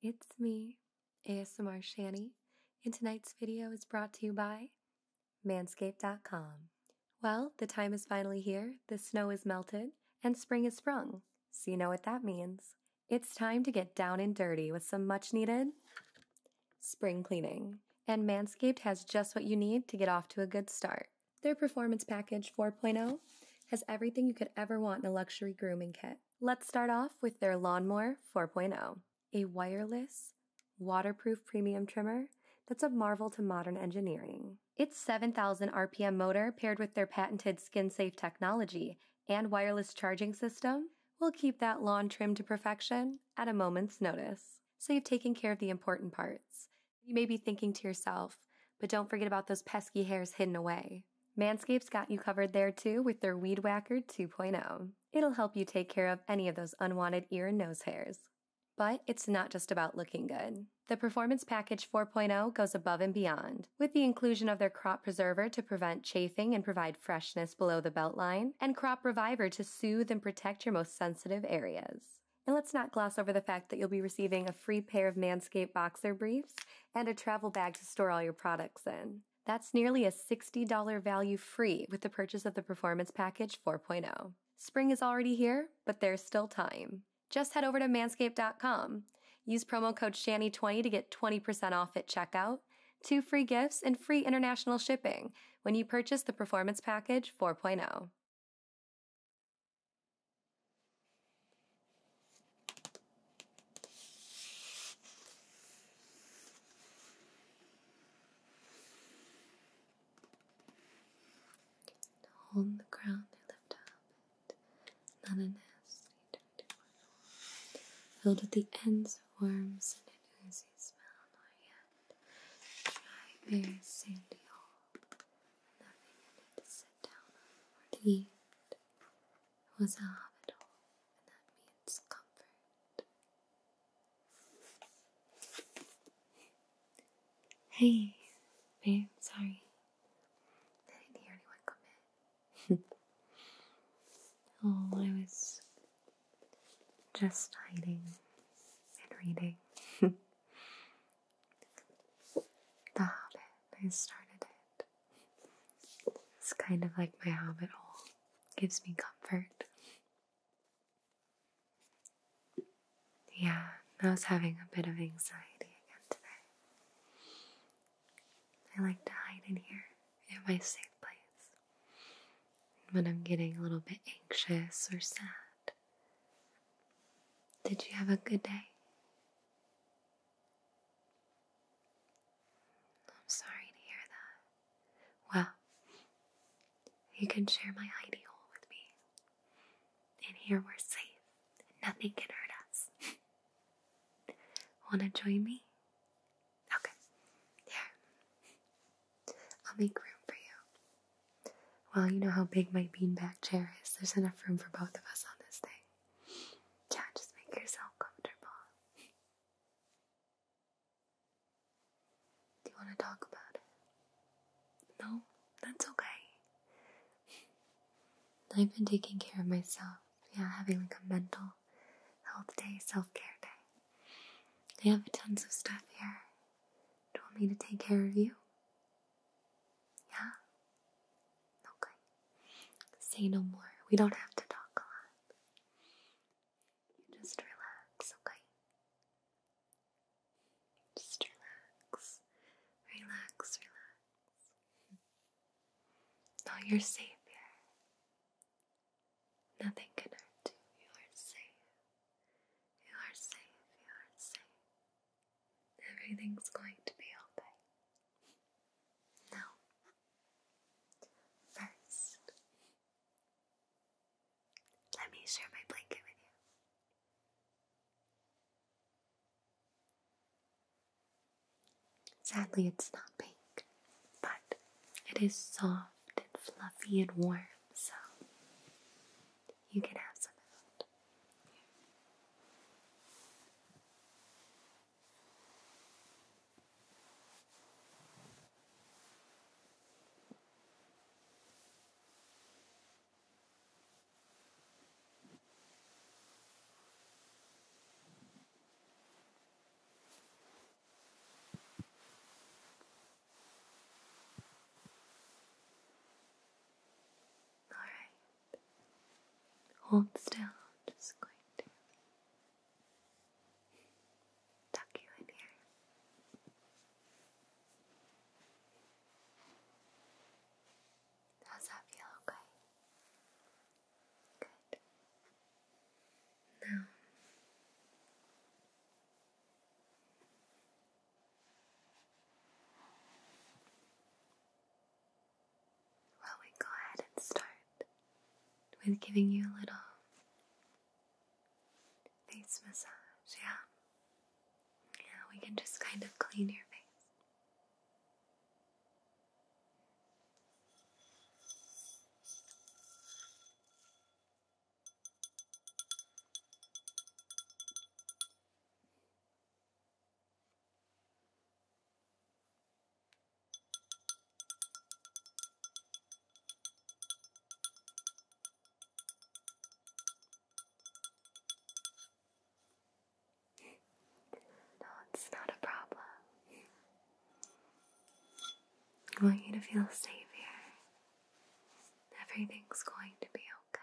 Hey, it's me, ASMR Shanny, and tonight's video is brought to you by Manscaped.com. Well, the time is finally here, the snow is melted, and spring is sprung, so you know what that means. It's time to get down and dirty with some much needed spring cleaning. And Manscaped has just what you need to get off to a good start. Their Performance Package 4.0 has everything you could ever want in a luxury grooming kit. Let's start off with their Lawnmower 4.0, a wireless, waterproof premium trimmer that's a marvel to modern engineering. Its 7,000 RPM motor paired with their patented skin safe technology and wireless charging system will keep that lawn trimmed to perfection at a moment's notice. So you've taken care of the important parts. You may be thinking to yourself, but don't forget about those pesky hairs hidden away. Manscapes got you covered there too with their Weed Whacker 2.0. It'll help you take care of any of those unwanted ear and nose hairs. But it's not just about looking good. The Performance Package 4.0 goes above and beyond, with the inclusion of their Crop Preserver to prevent chafing and provide freshness below the beltline, and Crop Reviver to soothe and protect your most sensitive areas. And let's not gloss over the fact that you'll be receiving a free pair of Manscaped boxer briefs and a travel bag to store all your products in. That's nearly a $60 value free with the purchase of the Performance Package 4.0. Spring is already here, but there's still time. Just head over to manscaped.com. Use promo code SHANNY20 to get 20% off at checkout, two free gifts, and free international shipping when you purchase the Performance Package 4.0. Hold the ground and lift up it. Not an S. Filled with the ends of worms and an oozy smell, nor yet dry, bare, sandy hole. Nothing you to sit down on was a hobbit hole, and that means comfort. Hey, babe, sorry. I didn't hear anyone come in. oh, I was just hiding and reading. The Hobbit. I started it. It's kind of like my habit hole. Gives me comfort. Yeah, I was having a bit of anxiety again today. I like to hide in here, in my safe place. When I'm getting a little bit anxious or sad. Did you have a good day? I'm sorry to hear that. Well, you can share my hidey hole with me. And here we're safe. Nothing can hurt us. Wanna join me? Okay. Here. I'll make room for you. Well, you know how big my beanbag chair is. There's enough room for both of us on this thing. Yeah, just make yourself comfortable. Do you want to talk about it? No? That's okay. I've been taking care of myself. Yeah, having like a mental health day, self care day. I have tons of stuff here. Do you want me to take care of you? Yeah? Okay. Say no more. We don't have to talk a lot. just relax, okay? Just relax. Relax, relax. No, you're safe here. Nothing can hurt you. You are safe. You are safe. You are safe. Everything's going to be okay. Now, first, let me share my blanket with you. Sadly, it's not pink, but it is soft and fluffy and warm, so you can have some out. Here. Alright. Hold still. I'm just going to tuck you in here. How's that feel? Okay. Good. Now well, we go ahead and start with giving you a little face massage, yeah? Yeah, we can just kind of clean your face. No, it's not a problem. I want you to feel safe here. Everything's going to be okay.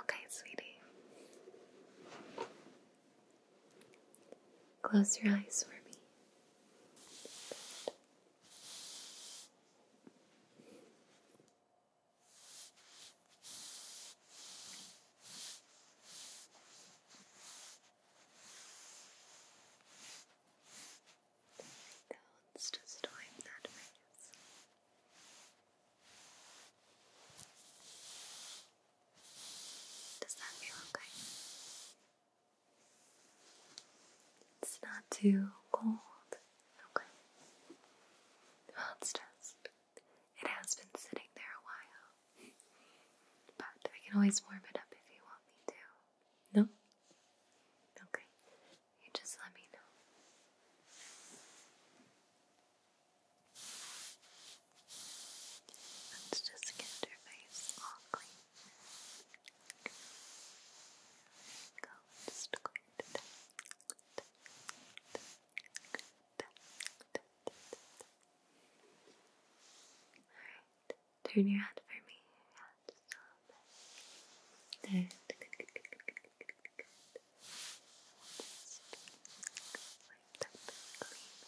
Okay, sweetie. Close your eyes for me do just wipe that face. Does that feel okay? It's not too cold. Okay. Well, it's just, it has been sitting there a while. But I can always warm it up if you want me to. No? Okay, you just let me know. Let's just get your face all clean. go. just going Alright. Turn your head for me. Head, stop. Good, good, good, good, good, up and clean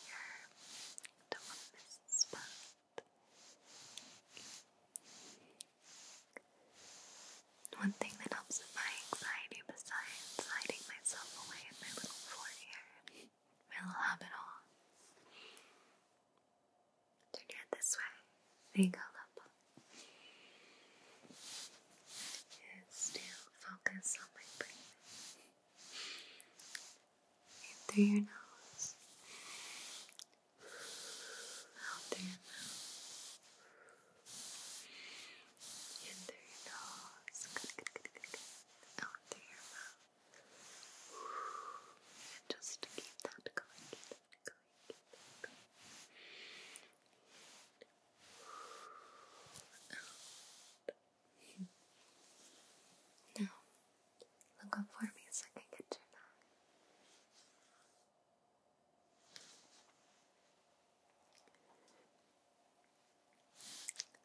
here. to miss spot. One thing that helps with my anxiety, besides hiding myself away in my little fort here, my little habit hole, Turn your head this way. There you go, Lumpa. And focus on my breathing. In through your nose. Out through your mouth. In through your nose. Out through your mouth. And just keep that going, now, look up for me so I can get your back.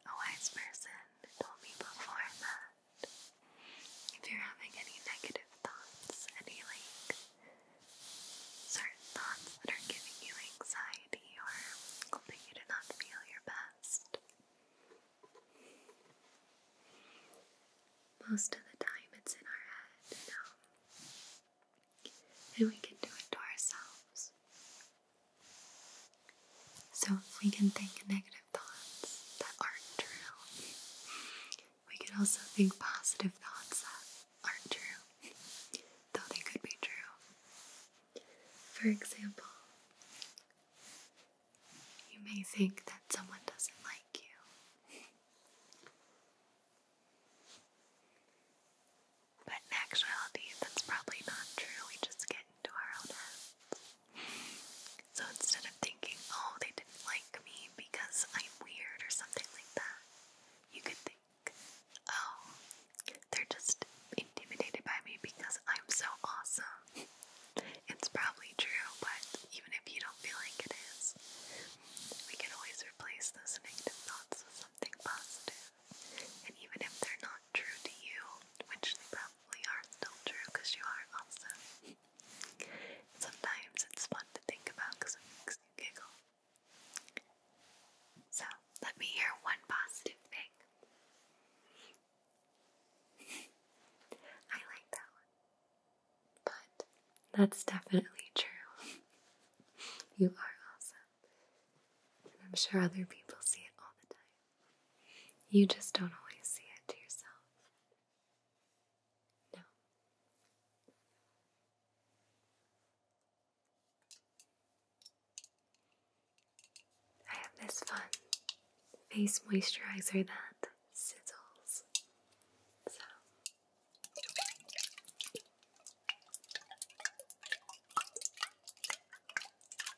A wise person told me before that if you're having any negative thoughts, any like certain thoughts that are giving you anxiety or hoping you do not feel your best, most of the time it's in our head, and we can do it to ourselves. So if we can think negative thoughts that aren't true. We can also think positive thoughts that aren't true, though they could be true. For example, you may think that someone doesn't like you. But in actuality, that's probably not true. We just get into our own heads. So instead of thinking, oh, they didn't like me because I'm weird or something like that, you could think, oh, they're just intimidated by me because I'm so awesome. it's probably true, but even if you don't feel like it is, we can always replace those negative thoughts with something positive. And even if they're not true to you, which they probably are not still true because you are awesome, Sometimes it's fun to think about because it makes you giggle. So, let me hear one positive thing. I like that one. But that's definitely true. you are awesome. And I'm sure other people see it all the time. You just don't always see it to yourself. I have this fun face moisturizer that sizzles. So.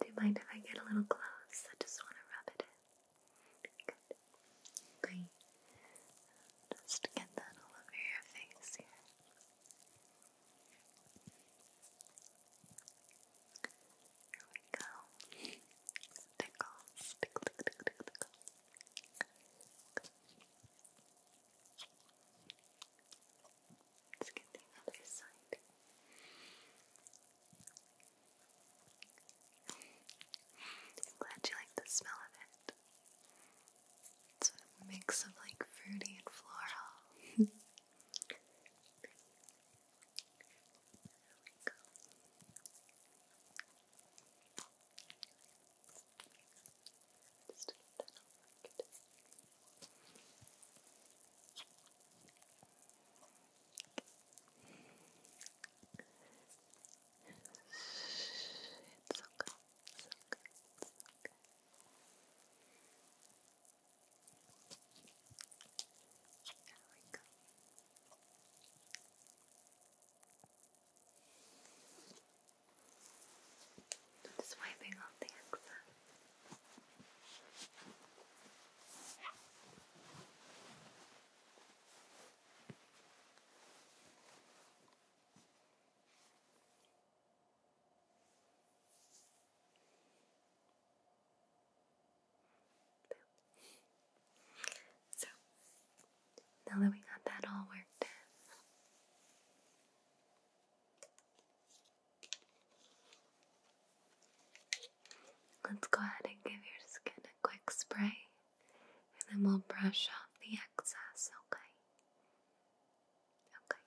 Do you mind if I get a little close? I just want to rub it in. Good. Great. Just get that all over your face here. we go. Tickle, tickle, tickle, tickle, tickle. Let's get the other side. I'm glad you like the smell of it. It's a mix of like fruity and floral. There we go. Just that over it's okay. It's okay. It's okay. There we go. Good. Just wiping off the excess. So, now that we got that all worked Let's go ahead and give your skin a quick spray and then we'll brush off the excess, okay? Okay.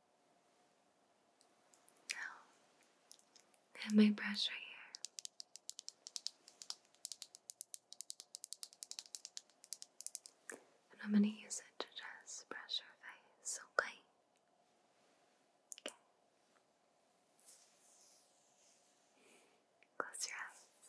Now, have my brush right here. And I'm going to use it to just brush your face, okay? Okay. Close your eyes.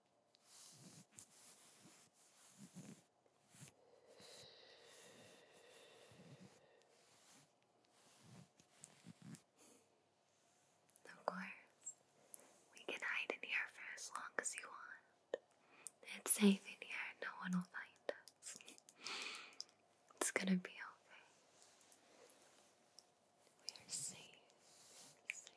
Of course, we can hide in here for as long as you want. It's safe in here, no one will find us. It's gonna be okay. We are safe. safe.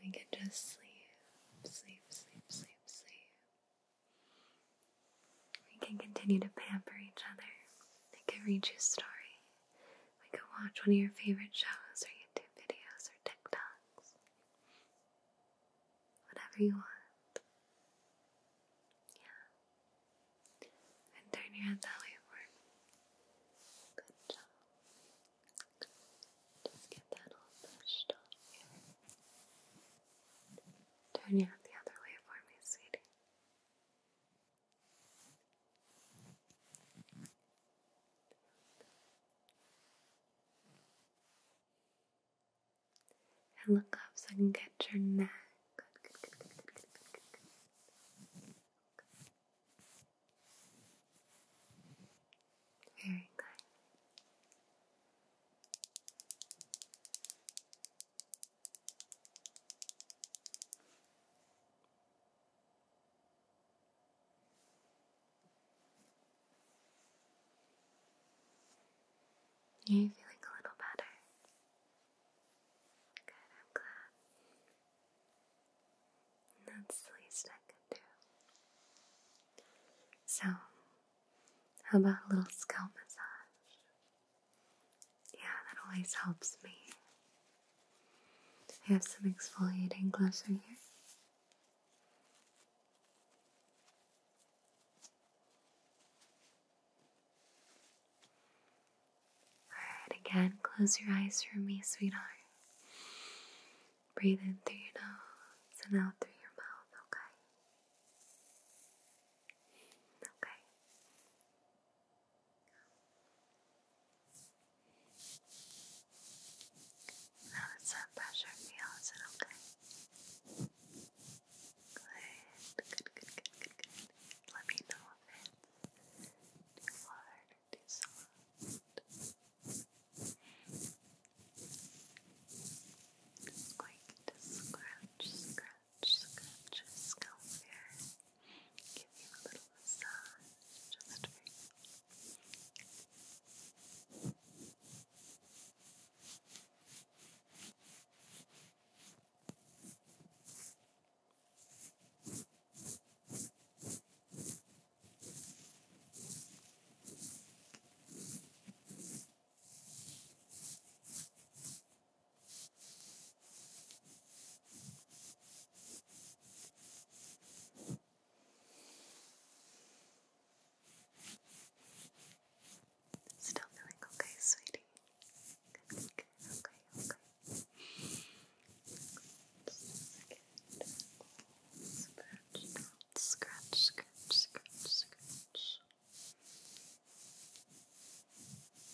We can just sleep, sleep, sleep, sleep, sleep. We can continue to pamper each other. I can read you a story. We could watch one of your favorite shows or YouTube videos or TikToks. Whatever you want. Yeah. And turn your head that way for me. Good job. Just get that all pushed off here. Turn your head the other way for me, sweetie. And look up so I can get your neck. Very good. Are you feeling a little better? Good, I'm glad. That's the least I could do. So, how about a little scalp massage? Yeah, that always helps me. I have some exfoliating gloves right here. Alright, again, close your eyes for me, sweetheart. Breathe in through your nose and out through your mouth, okay? Okay. How does that pressure feel? Is it okay? Good, good, good, good, good, good. Let me know if it's too hard or soft. Just going to scratch, scratch, scratch here. Give you a little massage just for you. Still feeling okay, sweetie. Good, good, okay, okay. scratch, scratch, scratch, scratch.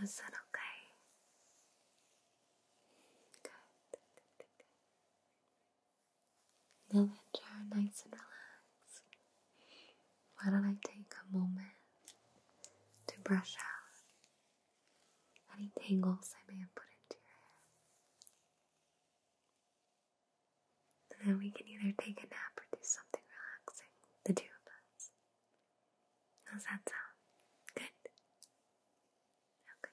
Was that okay? Good, good, good, good. Now that you're nice and relaxed, why don't I take a moment to brush out any tangles I may have put into your hair? then we can either take a nap or do something relaxing, the two of us. How's that sound? Good? Okay.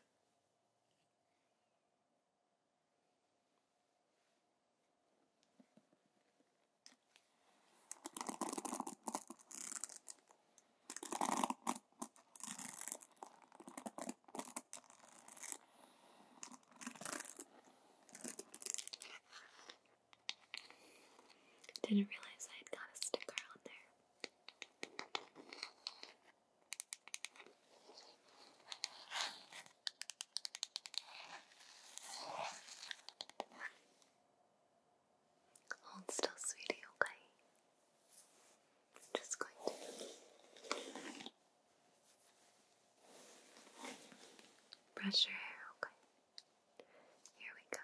Didn't realize I had got a sticker on there. Hold still, sweetie, okay? I'm just going to brush your hair, okay? Here we go.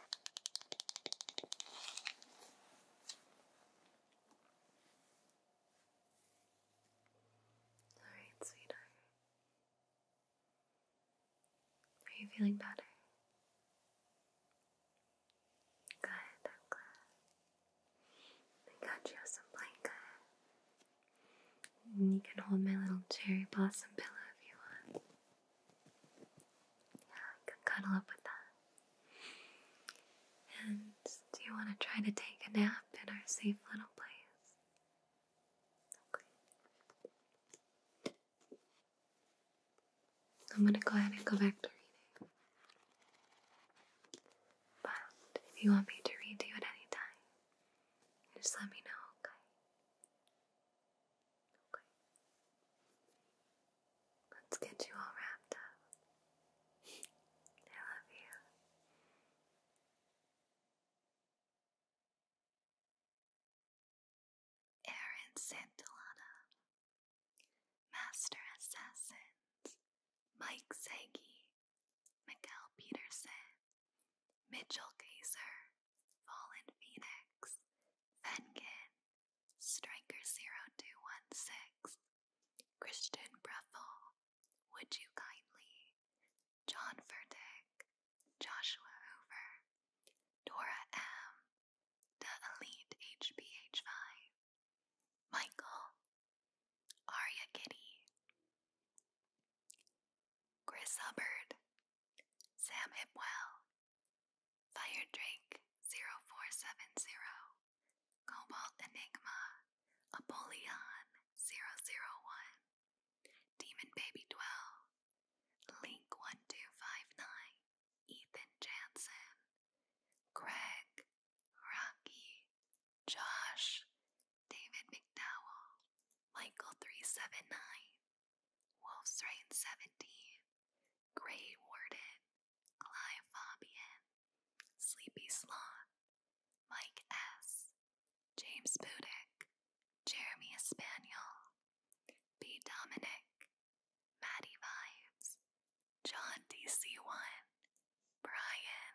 Alright, sweetheart. Are you feeling better? Good, I'm glad. I got you some blanket. You can hold my little cherry blossom pillow if you want. Yeah, I can cuddle up with that. And do you want to try to take a nap in our safe little place? Okay. I'm going to go ahead and go back to reading. But if you want me to read to you at any time, just let me know, okay? Let's get you all wrapped up. I love you. Aaron Santillana, Master Assassins, Mike Sagi, Mikael Peterson, Mitchell Kaiser, Fallen Phoenix, Fengen, Striker0216, Christian Breffel, Would You Kindly, John Furtick, Joshua Hoover, Dora M, The Elite HPH 5 Michael, Aria Kitty, Chris Hubbard, Sam Hipwell, Fire Drake 0470, Cobalt Enigma, Apollyon 001, Demon Baby 12, Link 1259, Ethan Jansen, Greg, Rocky, Josh, David McDowell, Michael 379, Wolfsrain 70, Grey Warden, Clive Sleepy Sloth, Mike S., James Budick, Jeremy Espaniel, B. Dominic, Maddie Vibes, John DC1, Brian.